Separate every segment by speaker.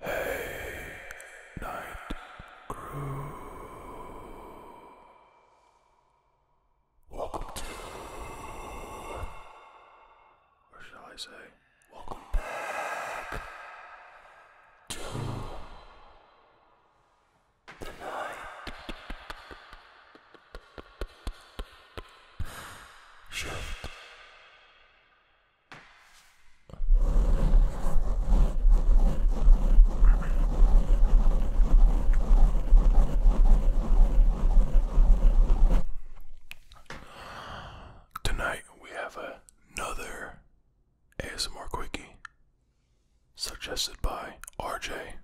Speaker 1: Hey, night crew. Welcome to, or shall I say, welcome back to Tonight. Shift. Tonight we have another ASMR Quickie, suggested by RJ.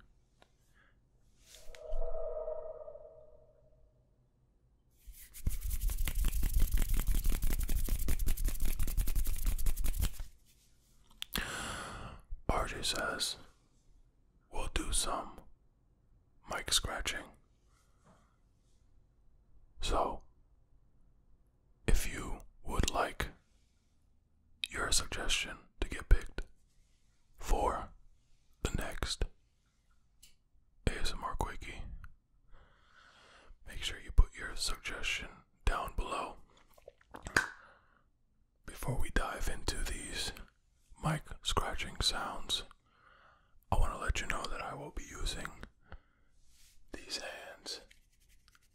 Speaker 1: says, We'll do some mic scratching. So, if you would like your suggestion to get picked for the next ASMR Quickie, make sure you put your suggestion down below. Before we dive into these mic scratching sounds, I want to let you know that I will be using these hands,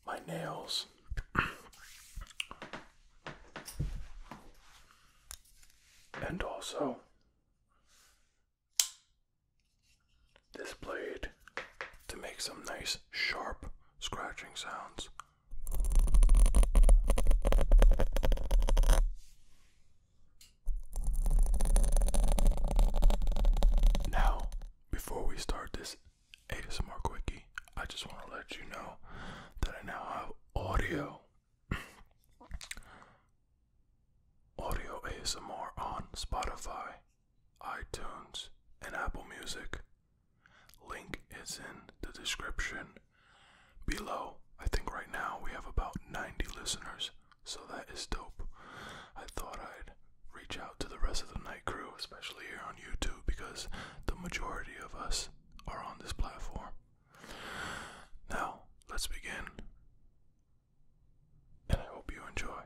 Speaker 1: my nails. And also, this blade to make some nice, sharp scratching sounds. Now, before we start this ASMR quickie, I just want to let you know that I now have audio, audio ASMR on Spotify, iTunes, and Apple Music. Link is in the description below. I think right now we have about 90 listeners, so that is dope. I thought I'd reach out to the rest of the night crew, especially here on YouTube, because the majority of us are on this platform. Now, let's begin, and I hope you enjoy.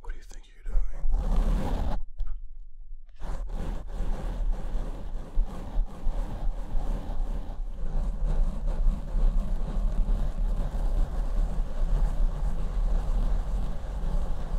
Speaker 1: What do you think you're doing?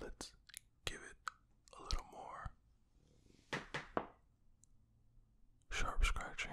Speaker 1: Let's give it a little more sharp scratching.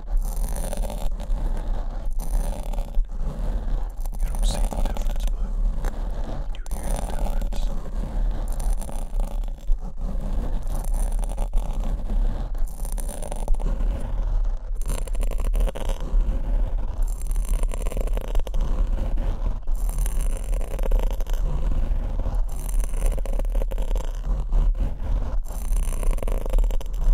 Speaker 1: You don't see the difference, but you hear the difference. All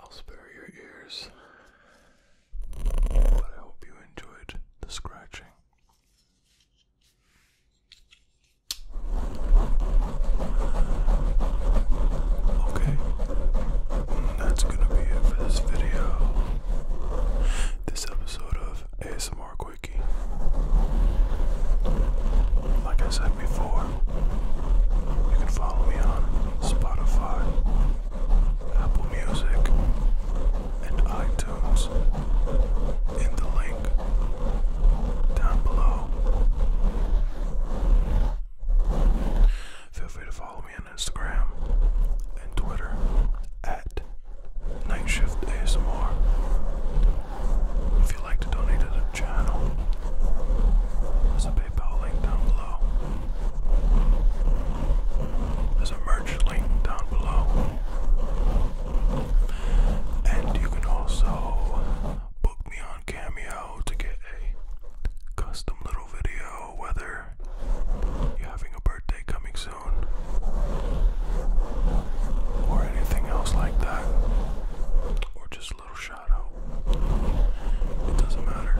Speaker 1: I'll spare your ears, but I hope you enjoyed the scratching. Okay, that's gonna be it for this video. This episode of ASMR Quickie. Like I said before, you can follow me on Spotify, Apple Music, and iTunes in the link down below. Feel free to follow me on Instagram and Twitter at Nightshift ASMR. If you'd like to donate to the channel, there's a PayPal link down below. There's a merch link down below. And you can also book me on Cameo to get a custom little video, whether you're having a birthday coming soon or anything else like that, or just a little shout It doesn't matter.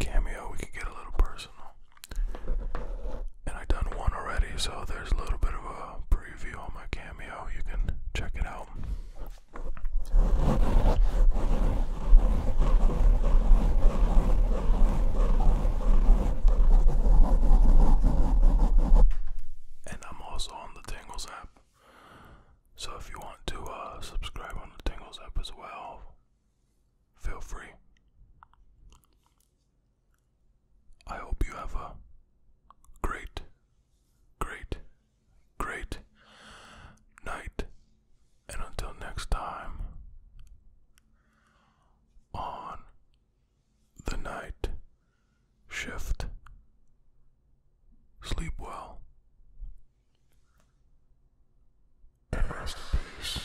Speaker 1: Cameo, we could get a little personal. And I done one already, so there's a little bit of a preview on my cameo. You can check it out. And I'm also on the Tingles app. So if you want to uh, subscribe on the Tingles app as well, feel free. I hope you have a great, great, great night. And until next time, on the night shift, sleep well and rest in peace.